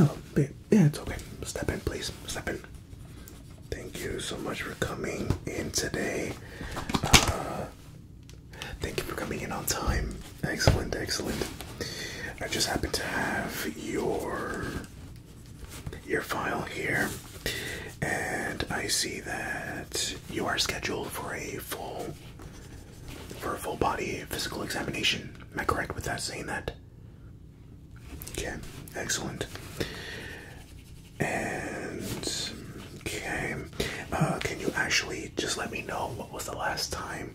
Oh, babe. Yeah, it's okay. Step in, please. Step in. Thank you so much for coming in today. Uh, thank you for coming in on time. Excellent, excellent. I just happen to have your your file here, and I see that you are scheduled for a full for a full body physical examination. Am I correct with that saying that? Okay, excellent. And okay, uh, can you actually just let me know what was the last time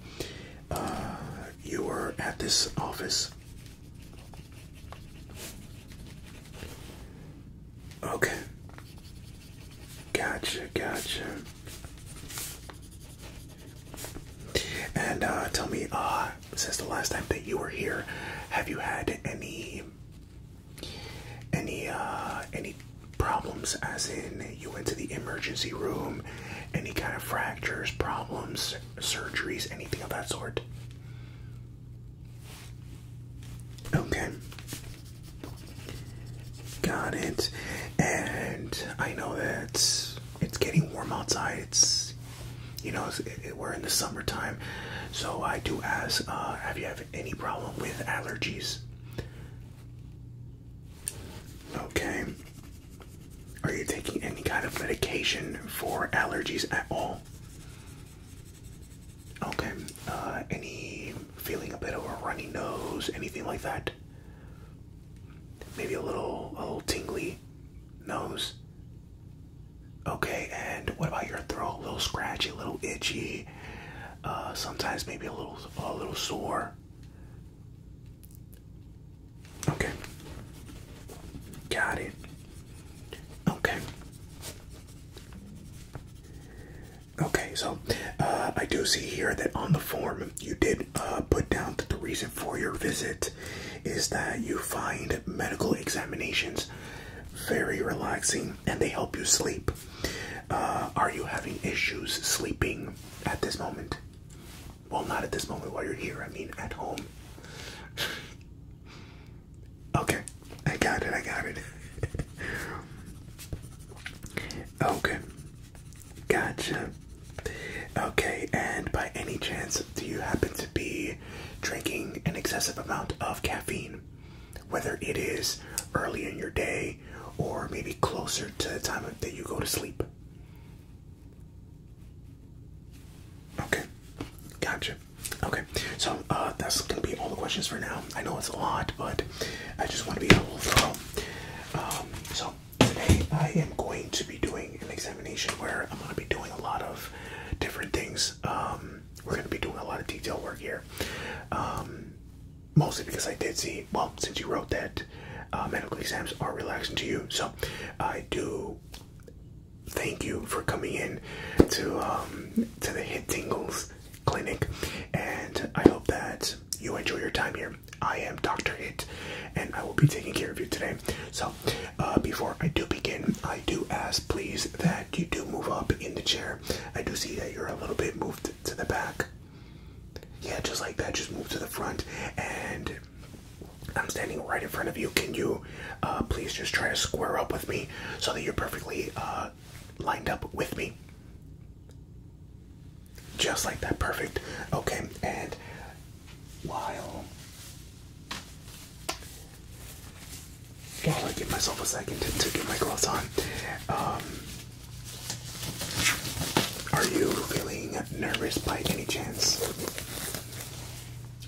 uh, you were at this office? Okay. Gotcha, gotcha. And uh, tell me, uh, since the last time that you were here, have you had any, any, uh, any problems? As in, you went to the emergency room, any kind of fractures, problems, surgeries, anything of that sort? Okay. Got it. And I know that it's getting warm outside. It's you know it, it, we're in the summertime, so I do ask: uh, Have you have any problem with allergies? Okay. Are you taking any kind of medication for allergies at all? Okay. Uh, any feeling a bit of a runny nose, anything like that? Maybe a little, a little tingly nose. Okay, and what about your throat? A little scratchy, a little itchy. Uh, sometimes maybe a little, a little sore. Okay. Got it. Okay. Okay, so uh, I do see here that on the form you did uh, put down that the reason for your visit is that you find medical examinations very relaxing and they help you sleep. Uh, are you having issues sleeping at this moment? Well, not at this moment while you're here, I mean at home. okay, I got it, I got it. okay, Gotcha. Okay, and by any chance, do you happen to be drinking an excessive amount of caffeine? Whether it is early in your day or maybe closer to the time that you go to sleep? Okay, gotcha. Okay, so uh, that's going to be all the questions for now. I know it's a lot, but I just want to be a little thorough. so Today I am going to be doing an examination where I'm going to be doing a lot of different things. Um, we're going to be doing a lot of detail work here. Um, mostly because I did see, well, since you wrote that uh, medical exams are relaxing to you. So I do thank you for coming in to, um, to the Hit Tingles clinic. And I hope that you enjoy your time here. I am Dr. It, and I will be taking care of you today. So, uh, before I do begin, I do ask please that you do move up in the chair. I do see that you're a little bit moved to the back. Yeah, just like that, just move to the front. And I'm standing right in front of you. Can you uh, please just try to square up with me so that you're perfectly uh, lined up with me? Just like that, perfect. Okay, and while while I give myself a second to, get my gloves on, um, are you feeling nervous by any chance?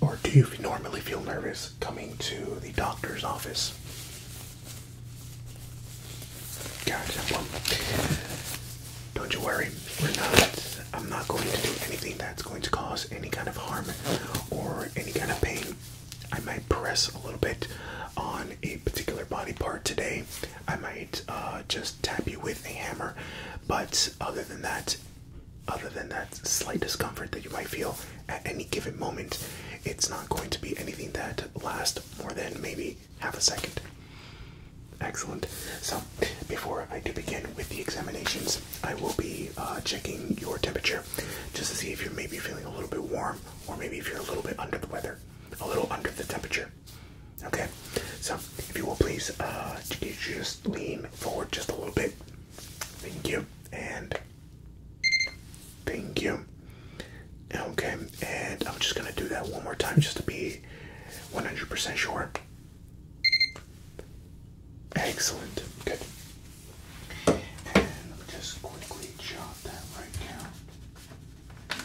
Or do you normally feel nervous coming to the doctor's office? Got don't you worry. We're not. I'm not going to do anything that's going to cause any kind of harm or any kind of pain. I might press a little bit on a particular body part today. I might uh, just tap you with a hammer, but other than that, other than that slight discomfort that you might feel at any given moment, it's not going to be anything that lasts more than maybe half a second. Excellent. So, before I do begin with the examinations, I will be uh, checking your temperature just to see if you're maybe feeling a little bit warm or maybe if you're a little bit under the weather, a little under the temperature. Okay? So, if you will please uh, just lean forward just a little bit. Thank you. And thank you. Okay, and I'm just gonna do that one more time just to be 100% sure. Excellent, good. And let me just quickly jot that right down.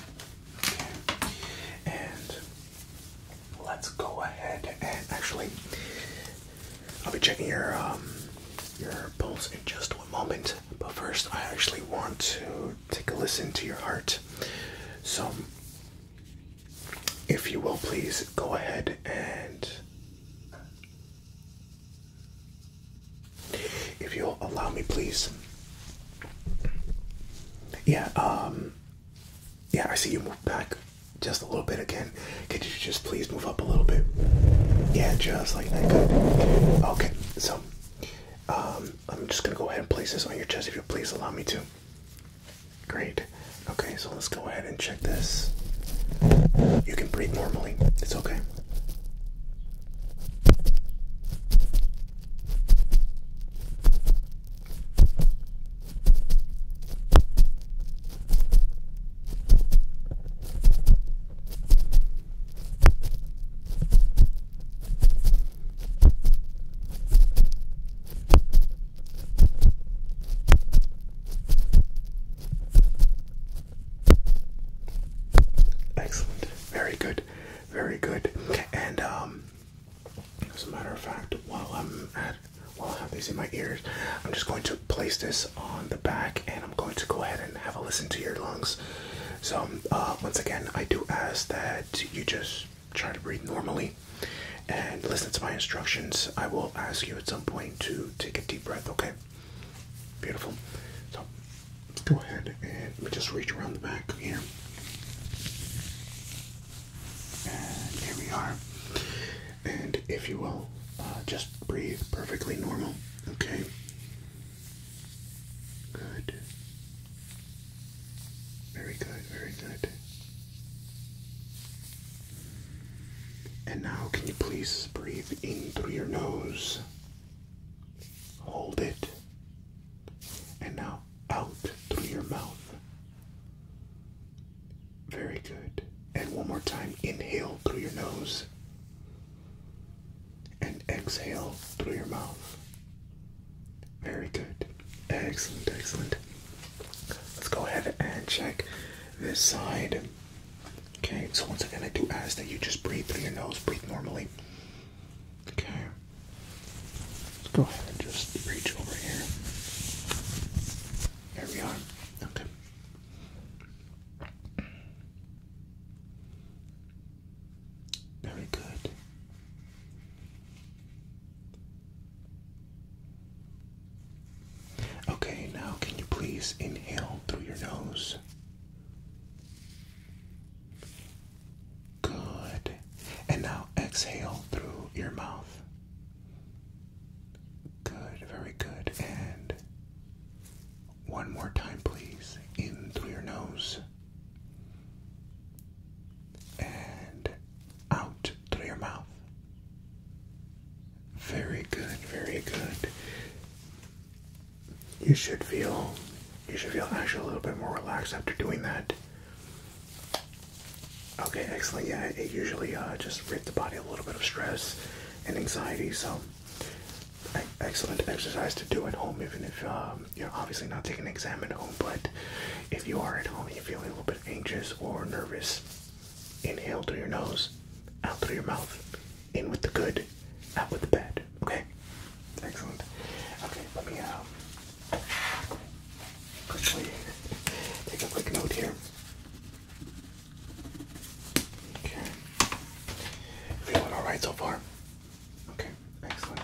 Okay, and let's go ahead and actually, I'll be checking your um, your pulse in just one moment. But first, I actually want to take a listen to your heart. So, if you will, please go ahead and. If you'll allow me, please. Yeah, um. Yeah, I see you move back just a little bit again. Could you just please move up a little bit? Yeah, just like that. Good. Okay, so. Um. I'm just gonna go ahead and place this on your chest if you please allow me to. Great. Okay, so let's go ahead and check this. You can breathe normally. It's okay. Excellent. Very good. Very good. And um, as a matter of fact, while I'm while I have these in my ears, I'm just going to place this on the back, and I'm going to go ahead and have a listen to your lungs. So uh, once again, I do ask that you just try to breathe normally and listen to my instructions. I will ask you at some point to take a deep breath, okay? Beautiful. So let's go ahead and just reach around the back here. And here we are. And if you will, uh, just breathe perfectly normal, okay? Good. Very good, very good. And now, can you please breathe in through your nose? Hold it. And now, out through your mouth. Very good. And one more time, inhale through your nose. And exhale through your mouth. Very good. Excellent, excellent. Let's go ahead and check this side. Okay, so once again, I do ask that you just breathe through your nose, breathe normally. Okay. Let's go ahead and just reach over here. There we are. Okay. Very good. Okay, now can you please inhale through your nose? Good. And now exhale through your mouth. Good, very good. And one more time, please. In through your nose and out through your mouth. Very good, very good. You should feel you should feel actually a little bit more relaxed after doing that. Okay, excellent. Yeah, it usually uh, just rid the body a little bit of stress and anxiety. So, excellent exercise to do at home, even if um, you are obviously not taking an exam at home, but if you are at home and you feel a little bit anxious or nervous, inhale through your nose, out through your mouth, in with the good, out with the bad. Okay? Excellent. Okay, let me um, quickly take a quick note here. Okay. Feeling alright so far? Okay. Excellent.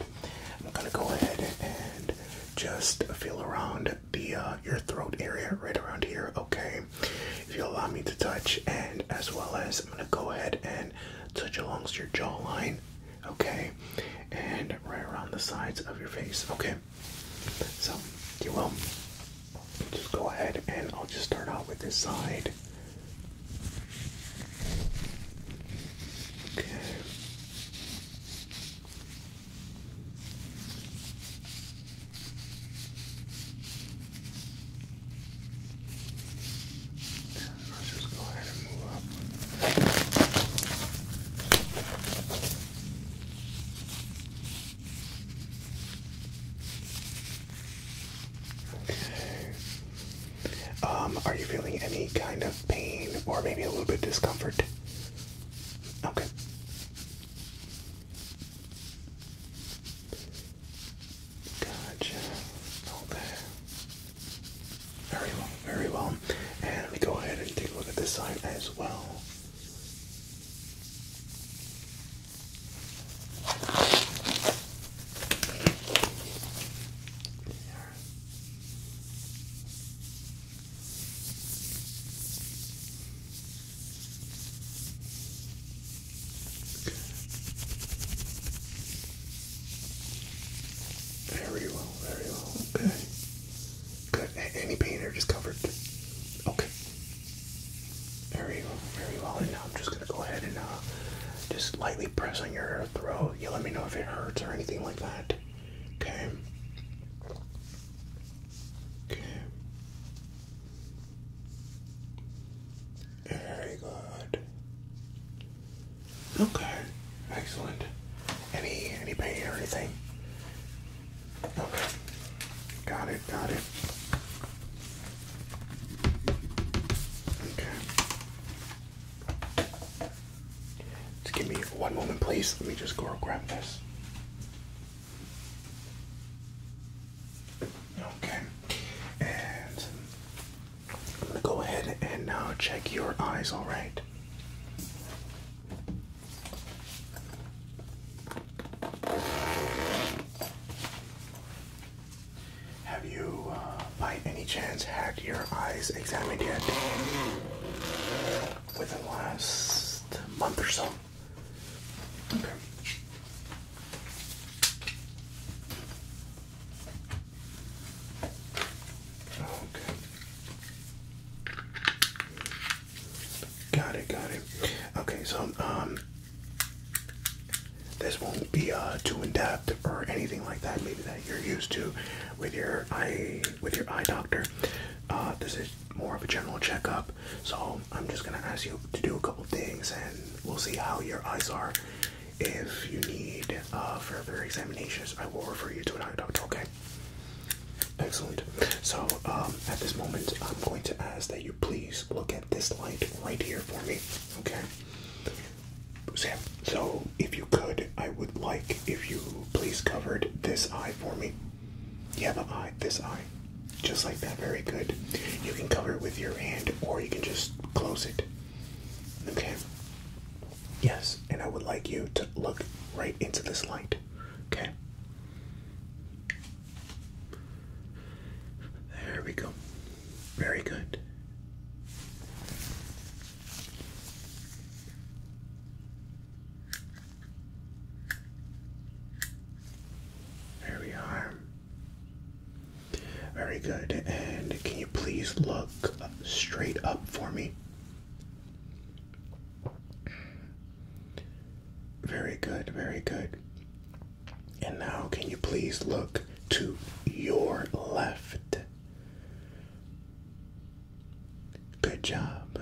I'm gonna go ahead and just feel around the uh, your throat area, right around here. Okay. If you allow me to touch, and as well as I'm gonna go ahead and touch along your jawline. Okay. And right around the sides of your face. Okay. So you will just go ahead, and I'll just start out with this side. Okay. Let's just go ahead and move up. Okay. Um, are you feeling any kind of pain or maybe a little bit discomfort? Okay. Gotcha. Okay. Very well, very well. And let me go ahead and take a look at this side as well. Very well, very well. Okay. Good. any pain or just Okay. Very well, very well. And now I'm just gonna go ahead and uh, just lightly press on your throat. You let me know if it hurts or anything like that. Okay. Okay. Very good. Okay. Excellent. Any any pain or anything? Okay. Got it. Got it. Okay. Just give me one moment, please. Let me just go grab this. Okay, and I'm gonna go ahead and now check your eyes, all right? Have you, uh, by any chance, had your eyes examined yet? Within the last month or so? Okay. Okay. Got it, got it. Okay, so um this won't be uh too in depth or anything like that maybe that you're used to with your eye with your eye doctor uh, this is more of a general checkup so i'm just going to ask you to do a couple things and we'll see how your eyes are if you need uh, further examinations i will refer you to an eye doctor okay excellent so um, at this moment i'm going to ask that you please look at this light right here for me okay so if you could, I would like if you please covered this eye for me. Yeah, the eye, this eye. Just like that, very good. You can cover it with your hand or you can just close it. Okay. Yes, and I would like you to look right into this light. Okay. There we go. Very good. There we are. Very good. And can you please look straight up for me? Very good, very good. And now, can you please look to your left? Good job.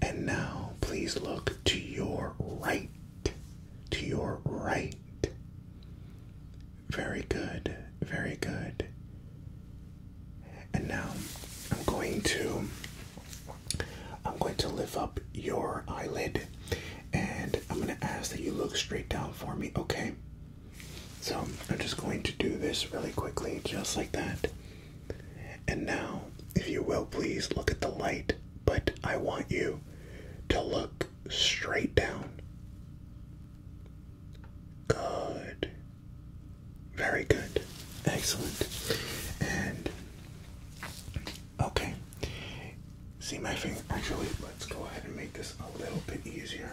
And now please look to your right. To your right. Very good. Very good. And now I'm going to I'm going to lift up your eyelid and I'm going to ask that you look straight down for me, okay? So I'm just going to do this really quickly, just like that. And now, if you will, please look at the light, but I want you to look straight down. Good. Very good. Excellent. And okay. See my finger. Actually, let's go ahead and make this a little bit easier.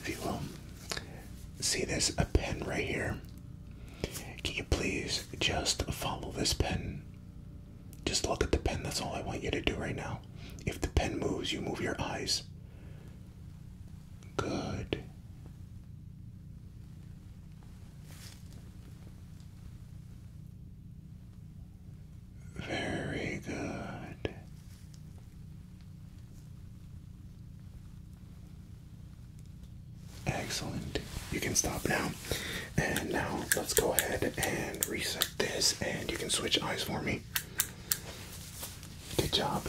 If you will see there's a pen right here, can you please just follow this pen? Just look at the pen. That's all I want you to do right now. If the pen moves, you move your eyes. Good. Very good. Excellent. You can stop now. And now let's go ahead and reset this, and you can switch eyes for me. Good job.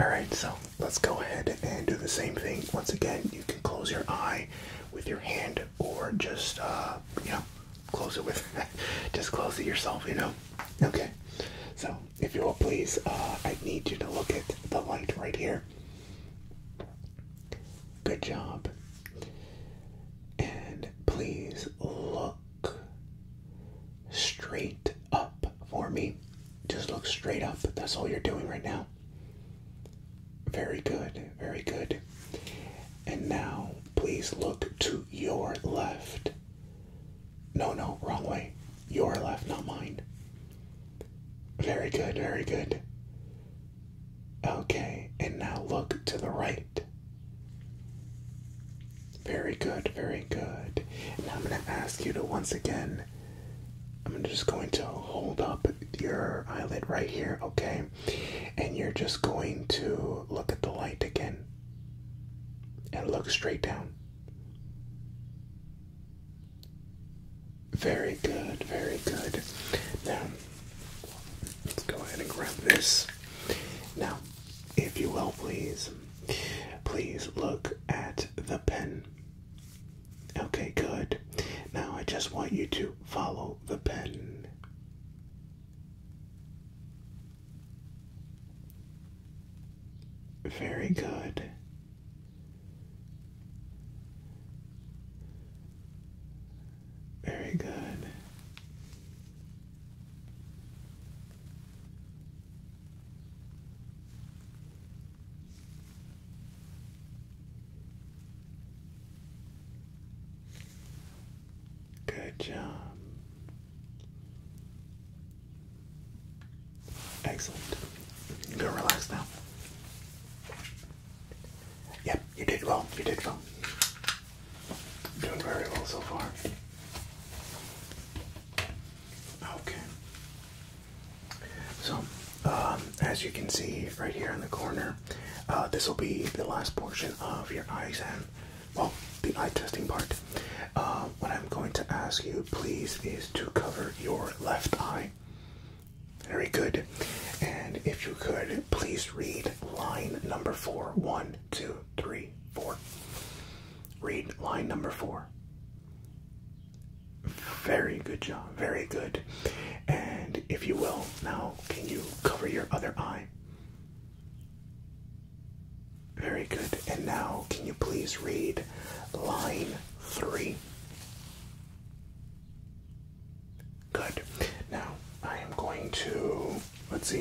Alright, so let's go ahead and do the same thing. Once again, you can close your eye with your hand or just, uh, you know, close it with just close it yourself, you know? Okay. So if you will please, uh, I need you to look at the light right here. Good job. And please look straight up for me. Just look straight up. That's all you're doing right now. Very good. Very good. And now please look to your left. No, no, wrong way. Your left, not mine. Very good, very good. Okay, and now look to the right. Very good, very good. Now I'm going to ask you to once again, I'm just going to hold up your eyelid right here, okay? And you're just going to look at the light again and look straight down. Very good, very good. Now, let's go ahead and grab this. Now, if you will, please, please look at the pen. Okay, good. Now, I just want you to follow the pen. Very good. Very good. Good job. Excellent. You Go relax now. Yep, you did well. You did well. Doing very well so far. Okay. So, um, as you can see right here in the corner, uh, this will be the last portion of your eye exam well, the eye testing part. Uh, what I'm going to ask you, please, is to cover your left eye. Very good. And if you could, please read line number four. One, two, three, four. Read line number four. Very good job. Very good. And if you will, now can you cover your other eye? Very good. And now, can you please read line three? Good. Now, I am going to, let's see,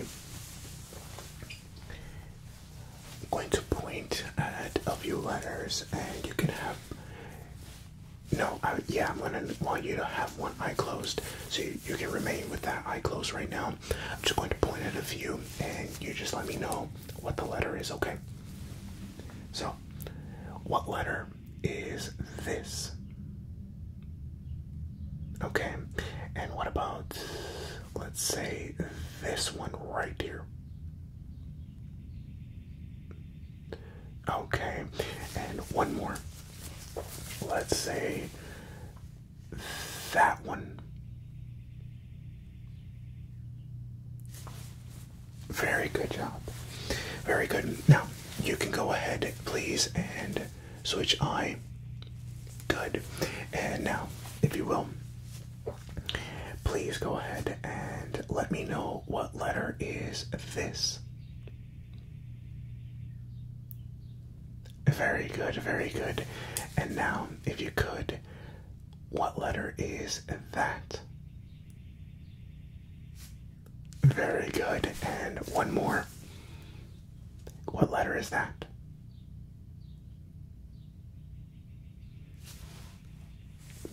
I'm going to point at a few letters and you can have, no, I, yeah, I'm going to want you to have one eye closed. So you can remain with that eye closed right now. I'm just going to point at a few and you just let me know what the letter is, okay? So, what letter is this? Okay, and what about, let's say, this one right here? Okay, and one more. Let's say that one. Very good job. Very good. Now, you can go ahead, please, and switch eye. Good. And now, if you will, please go ahead and let me know what letter is this. Very good, very good. And now, if you could, what letter is that? Very good. And one more. What letter is that?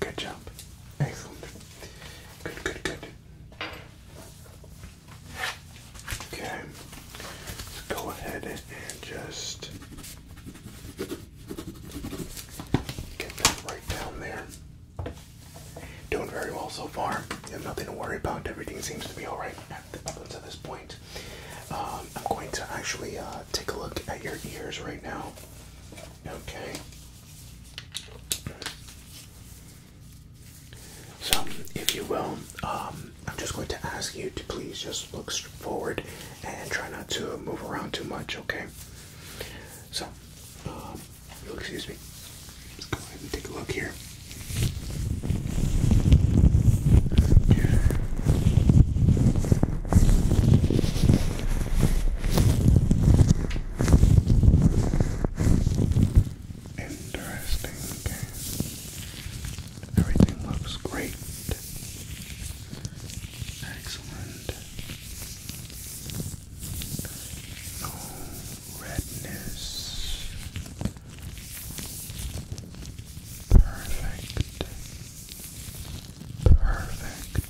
Good job. Excellent. Good, good, good. Okay, let's go ahead and just get that right down there. Doing very well so far. have nothing to worry about. Everything seems to be alright up until this point. Um, I'm going to actually uh, take a look at your ears right now. Okay. So, if you will, um, I'm just going to ask you to please just look forward and try not to move around too much, okay? So, um, you'll excuse me. Let's go ahead and take a look here. Interesting. Everything looks great. Excellent. No redness. Perfect. Perfect.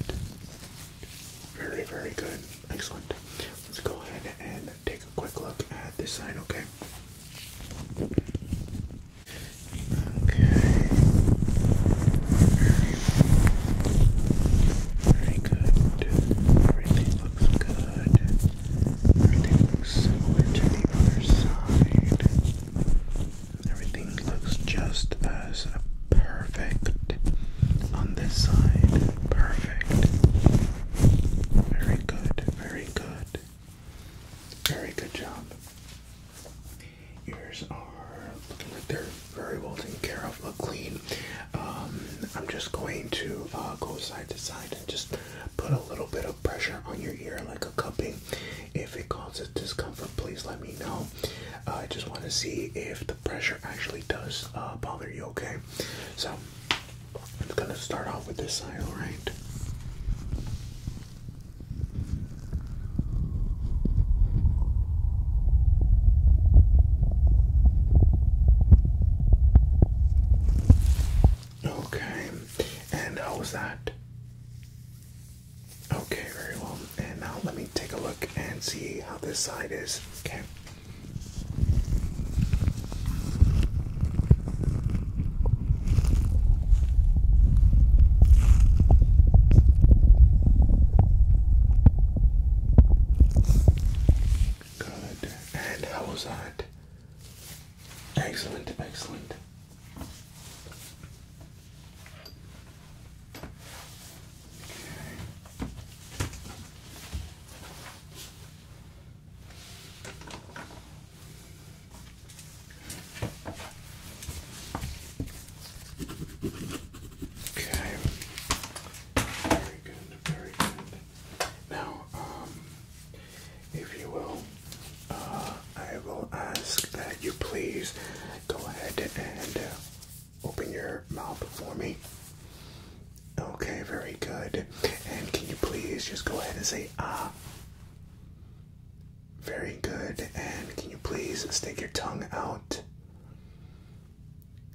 Very, very good. Excellent. Let's go ahead and take a quick look at this side, okay? Okay. Very good. Everything looks good. Everything looks the other side. Everything looks just as perfect on this side. Perfect. Very good. Very good. Very good job. Ears are looking like they're very well taken care of, look clean. Um, I'm just going to uh, go side to side and just put a little bit of pressure on your ear, like a cupping. If it causes discomfort, please let me know. I just want to see if the pressure actually does uh, bother you, okay? So I'm gonna start off with this side, alright? Okay, and how was that? Okay, very well. And now let me take a look and see how this side is. Okay. Good. And how was that? Excellent, excellent. Okay. Okay. Very good, very good. Now, um, if you will, uh, I will ask that you please go ahead and uh, open your mouth for me. Okay, very good. And can you please just go ahead and say ah? very good. And can you please stick your tongue out?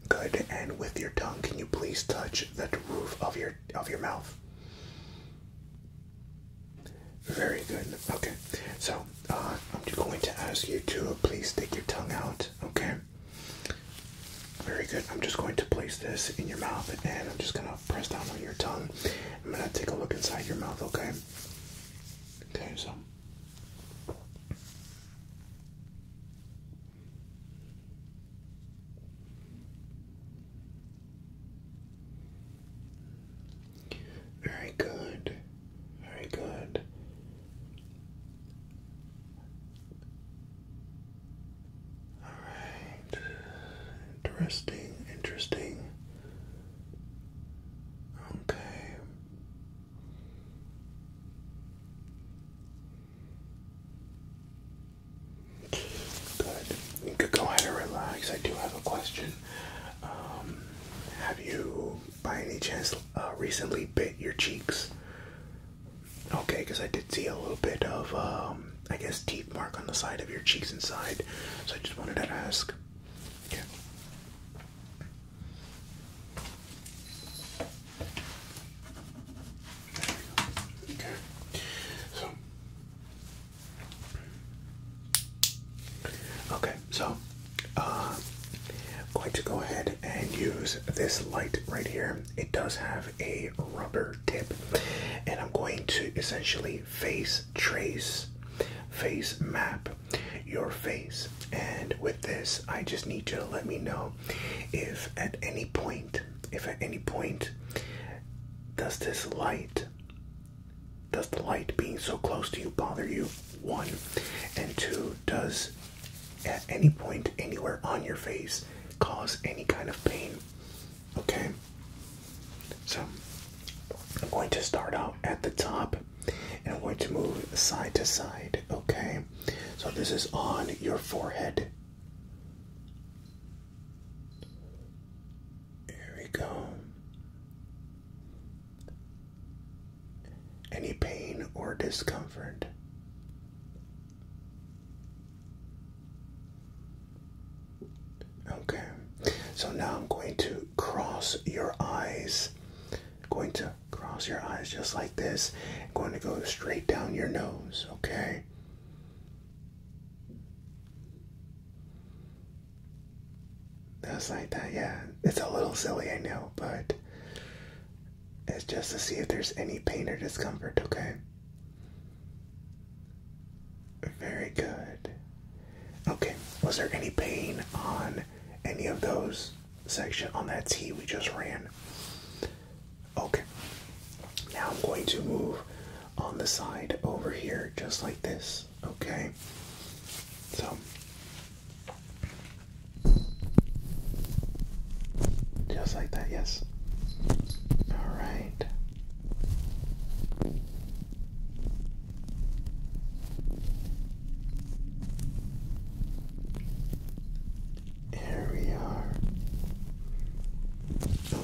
Good. And with your tongue, can you please touch the roof of your of your mouth? Very good. Okay. So uh, I'm just going to ask you to please stick your tongue out. Okay. Very good. I'm just going to place this in your mouth, and I'm just gonna press down on your tongue. I'm gonna take a look inside your mouth, okay? Okay, so. Very good. Very good. All right. Interesting, interesting. Okay. go ahead and relax. I do have a question. Um, have you, by any chance, uh, recently bit your cheeks? Okay, because I did see a little bit of um, I guess, teeth mark on the side of your cheeks inside. So I just wanted to ask. Okay. Okay. So. Okay, so uh, I'm going to go ahead and use this light right here. It does have a rubber tip, and I'm going to essentially face trace, face map your face. And with this, I just need you to let me know if at any point, if at any point, does this light, does the light being so close to you bother you? One, and two, does at any point anywhere on your face cause any kind of pain? Okay, so I'm going to start out at the top and I'm going to move side to side. Okay, so this is on your forehead. Here we go. Any pain or discomfort? Okay, so now I'm going to cross your eyes. Going to cross your eyes just like this. going to go straight down your nose, okay? That's like that, yeah. It's a little silly, I know, but it's just to see if there's any pain or discomfort, okay? Very good. Okay, was there any pain on any of those section on that T we just ran? Okay. Now I'm going to move on the side over here just like this. Okay. So just like that, yes. All right. Here we are.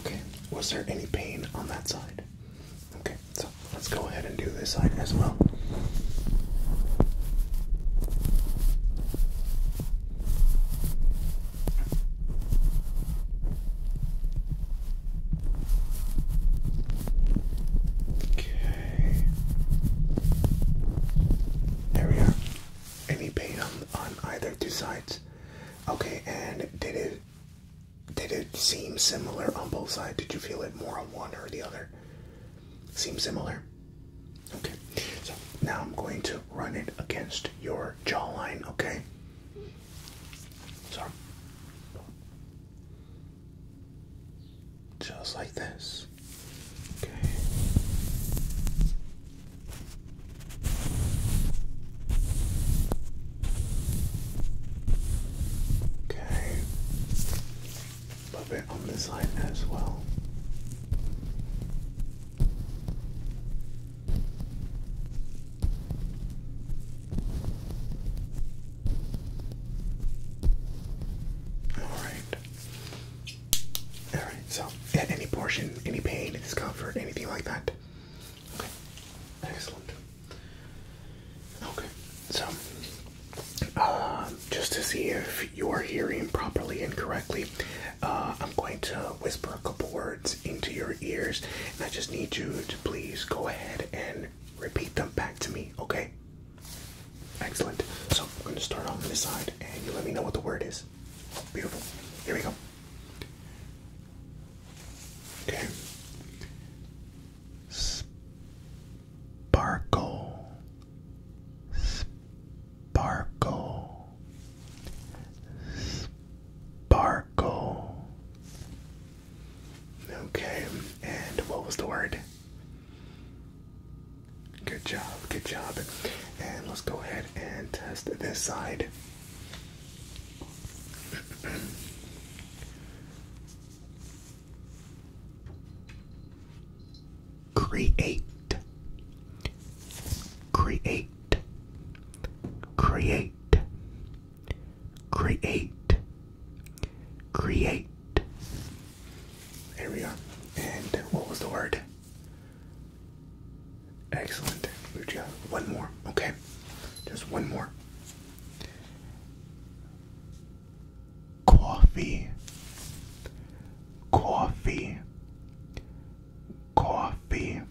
Okay, was there any pain on that side? Okay, so let's go ahead and do this side as well. Okay. There we are. Any pain on either two sides? Okay, and did it did it seem similar on both sides? Did you feel it more on one or the other? Seems similar? Okay. So now I'm going to run it against your jawline, okay? So, just like this. Okay. Okay. A little on this side as well. Alright. Alright, so yeah, any portion, any pain, discomfort, anything like that. Okay. Excellent. Okay, so um, just to see if you're hearing properly and correctly, uh, I'm going to whisper a couple words into your ears I just need you to please go ahead and repeat them back to me, okay? Excellent. So I'm going to start on this side and you let me know what the word is. Beautiful. Here we go. Okay. Sparkle. Sparkle. Sparkle. Okay, and what was the word? Good job, good job. And let's go ahead and test this side. create create create, create, create. There we go. And what was the word? Excellent. One more. Okay. Just one more. Coffee. Coffee coffee.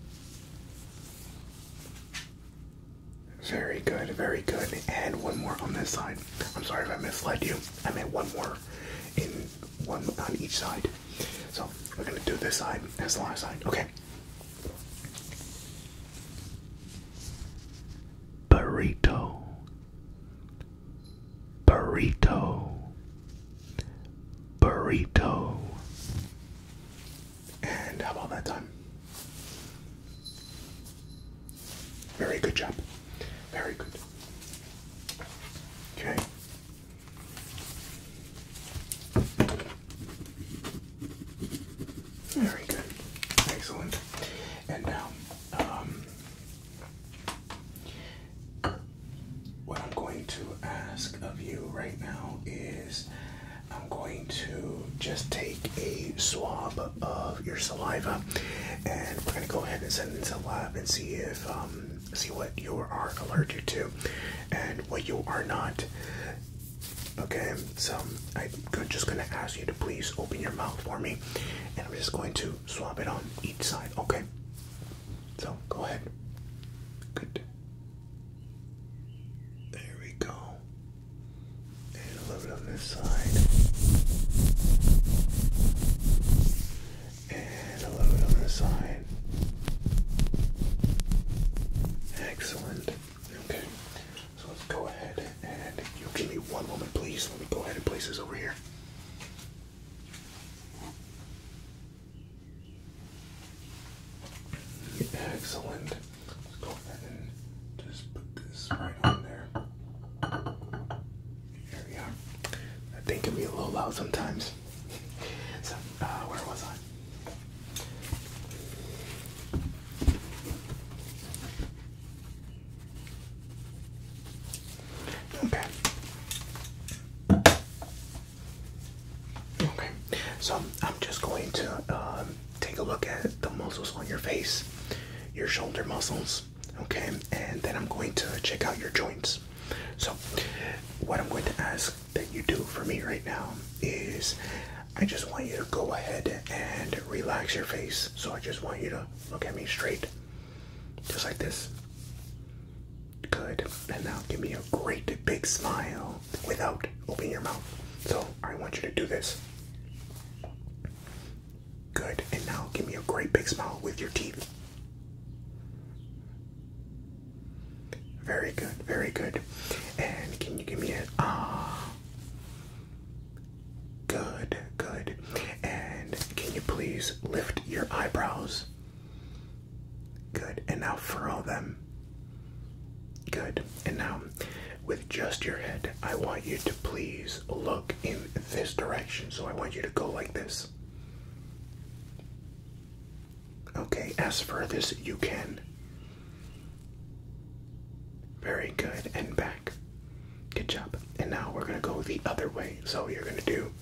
Very good, very good. And one more on this side. I'm sorry if I misled you. I meant one more in one on each side. So we're gonna do this side as the last side. Okay. Burrito. Burrito. Burrito. And how about that time? Very good job. Very good. Okay. Very good. Excellent. And now, um, what I'm going to ask of you right now is I'm going to just take a swab of your saliva, and we're going to go ahead and send it to the lab and see if um, see what you are allergic to, and what you are not. Okay, so I'm just going to ask you to please open your mouth for me, and I'm just going to swab it on each side. Okay, so go ahead. Good. There we go. And a little bit on this side. And a little bit on this side. Excellent. Okay. So let's go ahead and you give me one moment please. Let me go ahead and place this over here. Excellent. Let's go ahead and just put this right on there. There we are. That thing can be a little loud sometimes. so, uh, where was I? Okay. Okay, so I'm just going to um, take a look at the muscles on your face, your shoulder muscles, okay, and then I'm going to check out your joints. So, what I'm going to ask that you do for me right now is I just want you to go ahead and relax your face. So, I just want you to look at me straight, just like this. Good, and now give me a great big smile without opening your mouth. So I want you to do this. Good. And now give me a great big smile with your teeth. Very good, very good. And can you give me a ah? Good, good. And can you please lift your eyebrows? Good. And now furrow them. Good. And now, with just your head, I want you to please look in this direction. So I want you to go like this. Okay, as far as you can. Very good. And back. Good job. And now we're going to go the other way. So you're going to do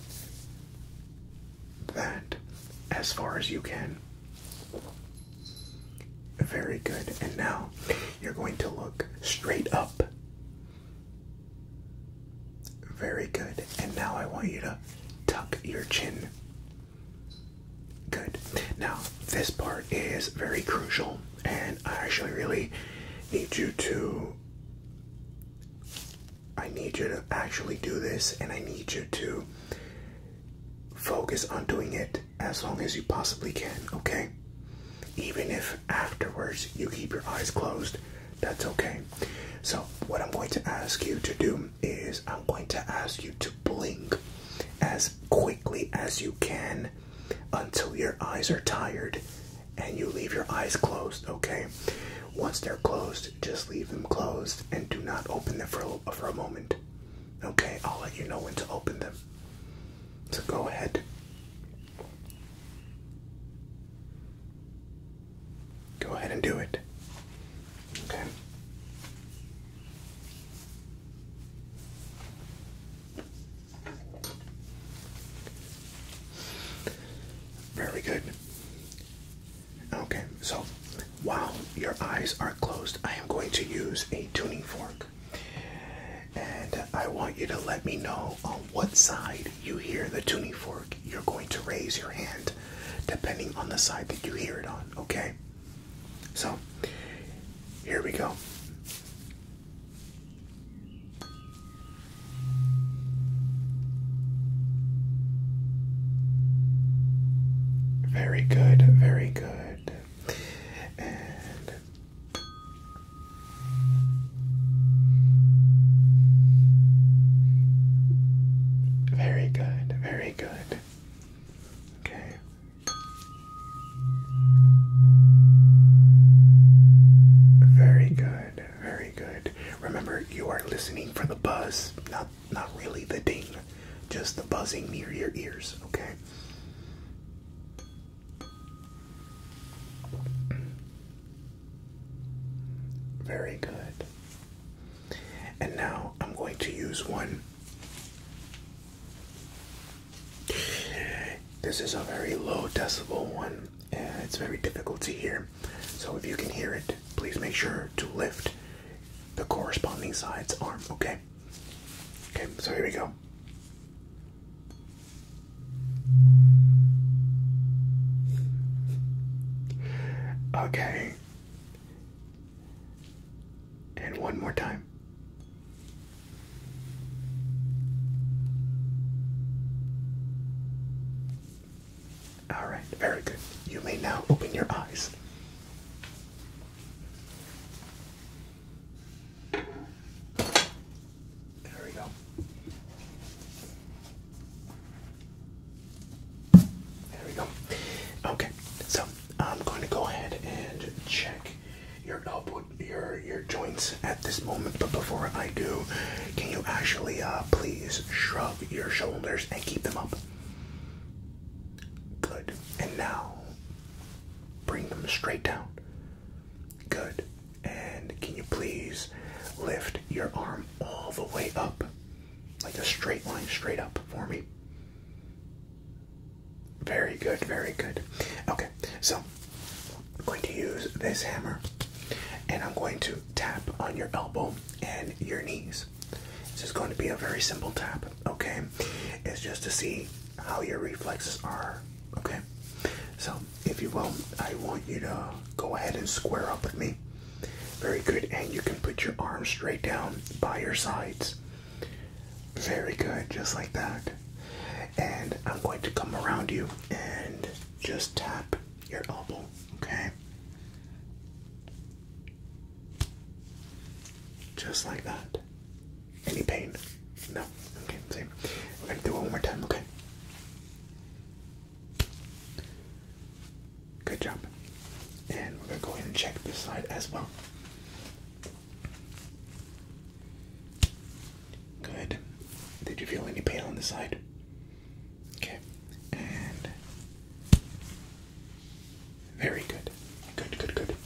that as far as you can. Very good. And now you're going to look straight up. Very good. And now I want you to tuck your chin. Good. Now, this part is very crucial, and I actually really need you to. I need you to actually do this, and I need you to focus on doing it as long as you possibly can, okay? Even if afterwards you keep your eyes closed, that's okay. So, what I'm going to ask you to do is I'm going to ask you to blink as quickly as you can until your eyes are tired and you leave your eyes closed, okay? Once they're closed, just leave them closed and do not open them for a, for a moment. Okay, I'll let you know when to open them. So go ahead. Go ahead and do it. Okay. Very good. Okay, so while your eyes are closed, I am going to use a tuning fork. And I want you to let me know on what side you hear the tuning fork. You're going to raise your hand depending on the side that you hear it on, okay? So, here we go. Very good, very good. very good, very good. Okay. Very good, very good. Remember, you are listening for the buzz, not not really the ding, just the buzzing near your ears, okay? Very good. And now I'm going to use one. This is a very low decibel one, and it's very difficult to hear. So if you can hear it, please make sure to lift the corresponding side's are okay? Okay, so here we go. Okay. And one more time. All right, very good. You may now open your eyes. There we go. There we go. Okay, so I'm going to go ahead and check your elbow, your your joints at this moment. But before I do, can you actually uh, please shrug your shoulders and keep them up? Good. And now bring them straight down. Good. And can you please lift your arm all the way up? Like a straight line, straight up for me. Very good, very good. Okay, so I'm going to use this hammer and I'm going to tap on your elbow and your knees this. is going to be a very simple tap, okay? It's just to see how your reflexes are, okay? So, if you will, I want you to go ahead and square up with me. Very good, and you can put your arms straight down by your sides. Very good, just like that. And I'm going to come around you and just tap your elbow, okay? Just like that. Any pain? No. Okay, same. We're gonna do it one more time, okay? Good job. And we're gonna go ahead and check this side as well. Good. Did you feel any pain on the side? Okay. And very good. Good, good, good.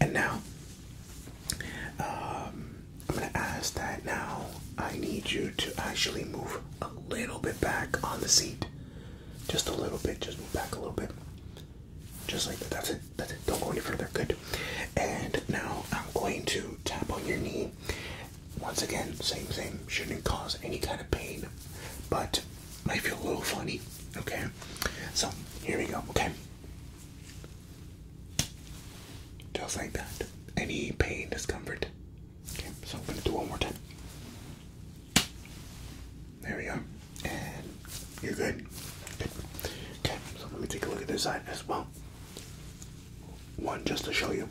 And now, um, I'm going to ask that now I need you to actually move a little bit back on the seat. Just a little bit. Just move back a little bit. Just like that. That's it. That's it. Don't go any further. Good. And now I'm going to tap on your knee. Once again, same, same. Shouldn't cause any kind of pain, but might feel a little funny. Okay, so here we go. Okay, just like that. Any pain, discomfort. Okay, so I'm gonna do one more time. There we go. and you're good. good. Okay, so let me take a look at this side as well. One just to show you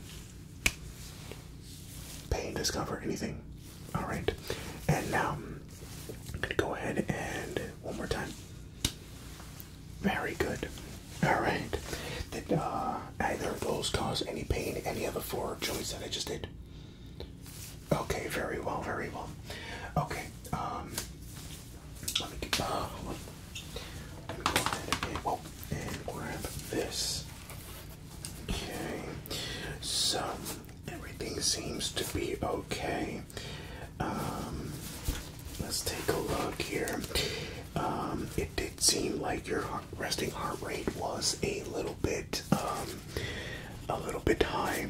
pain, discomfort, anything. All right, and now I'm um, gonna go ahead and one more time. Very good. All right. Did uh, either of those cause any pain any of the four joints that I just did? Okay. Very well. Very well. Okay. Um. Let me get. Uh, let me go ahead and grab this. Okay, so everything seems to be okay. Um, let's take a look here. Um, it did seem like your resting heart rate was a little bit, um, a little bit high.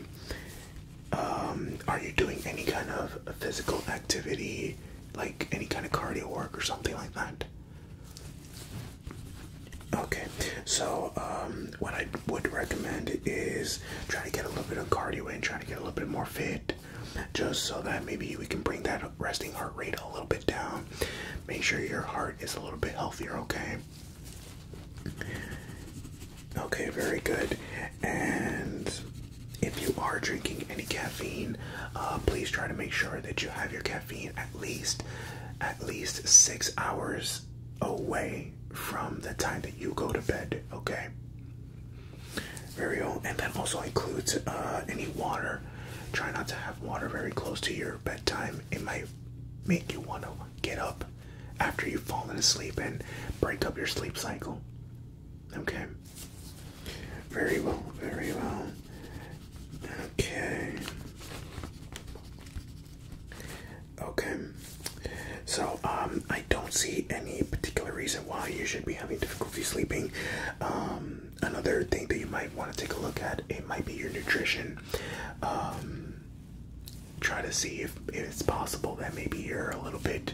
Um, are you doing any kind of physical activity, like any kind of cardio work or something like that? Okay, so um, what I would recommend is try to get a little bit of cardio in, try to get a little bit more fit, just so that maybe we can bring that resting heart rate a little bit down. Make sure your heart is a little bit healthier, okay? Okay, very good. And if you are drinking any caffeine, uh, please try to make sure that you have your caffeine at least at least six hours away from the time that you go to bed, okay? Very old, and that also includes uh, any water. Try not to have water very close to your bedtime. It might make you want to get up after you've fallen asleep and break up your sleep cycle. Okay. Very well, very well. Okay. Okay, so um, I don't see any particular reason why you should be having difficulty sleeping. Um, another thing that you might want to take a look at it might be your nutrition. Um, try to see if, if it's possible that maybe you're a little bit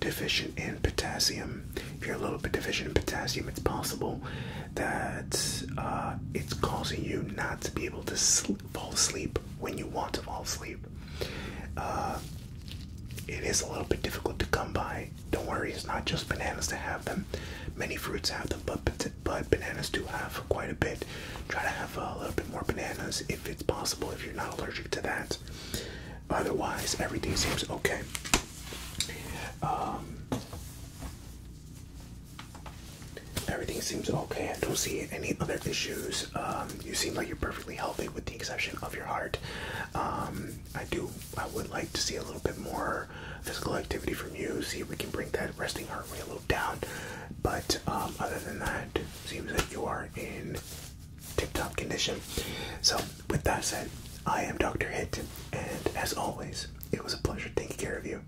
deficient in potassium. If you're a little bit deficient in potassium, it's possible that uh, it's causing you not to be able to sleep, fall asleep when you want to fall asleep. Uh, it is a little bit difficult to come by. Don't worry, it's not just bananas to have them. Many fruits have them, but, but bananas do have quite a bit. Try to have a little bit more bananas if it's possible, if you're not allergic to that. Otherwise, everything seems okay. Um, Everything seems okay. I don't see any other issues. Um, you seem like you're perfectly healthy, with the exception of your heart. Um, I do. I would like to see a little bit more physical activity from you. See if we can bring that resting heart rate a little down. But um, other than that, seems like you are in tip-top condition. So, with that said, I am Dr. Hit, and as always, it was a pleasure taking care of you.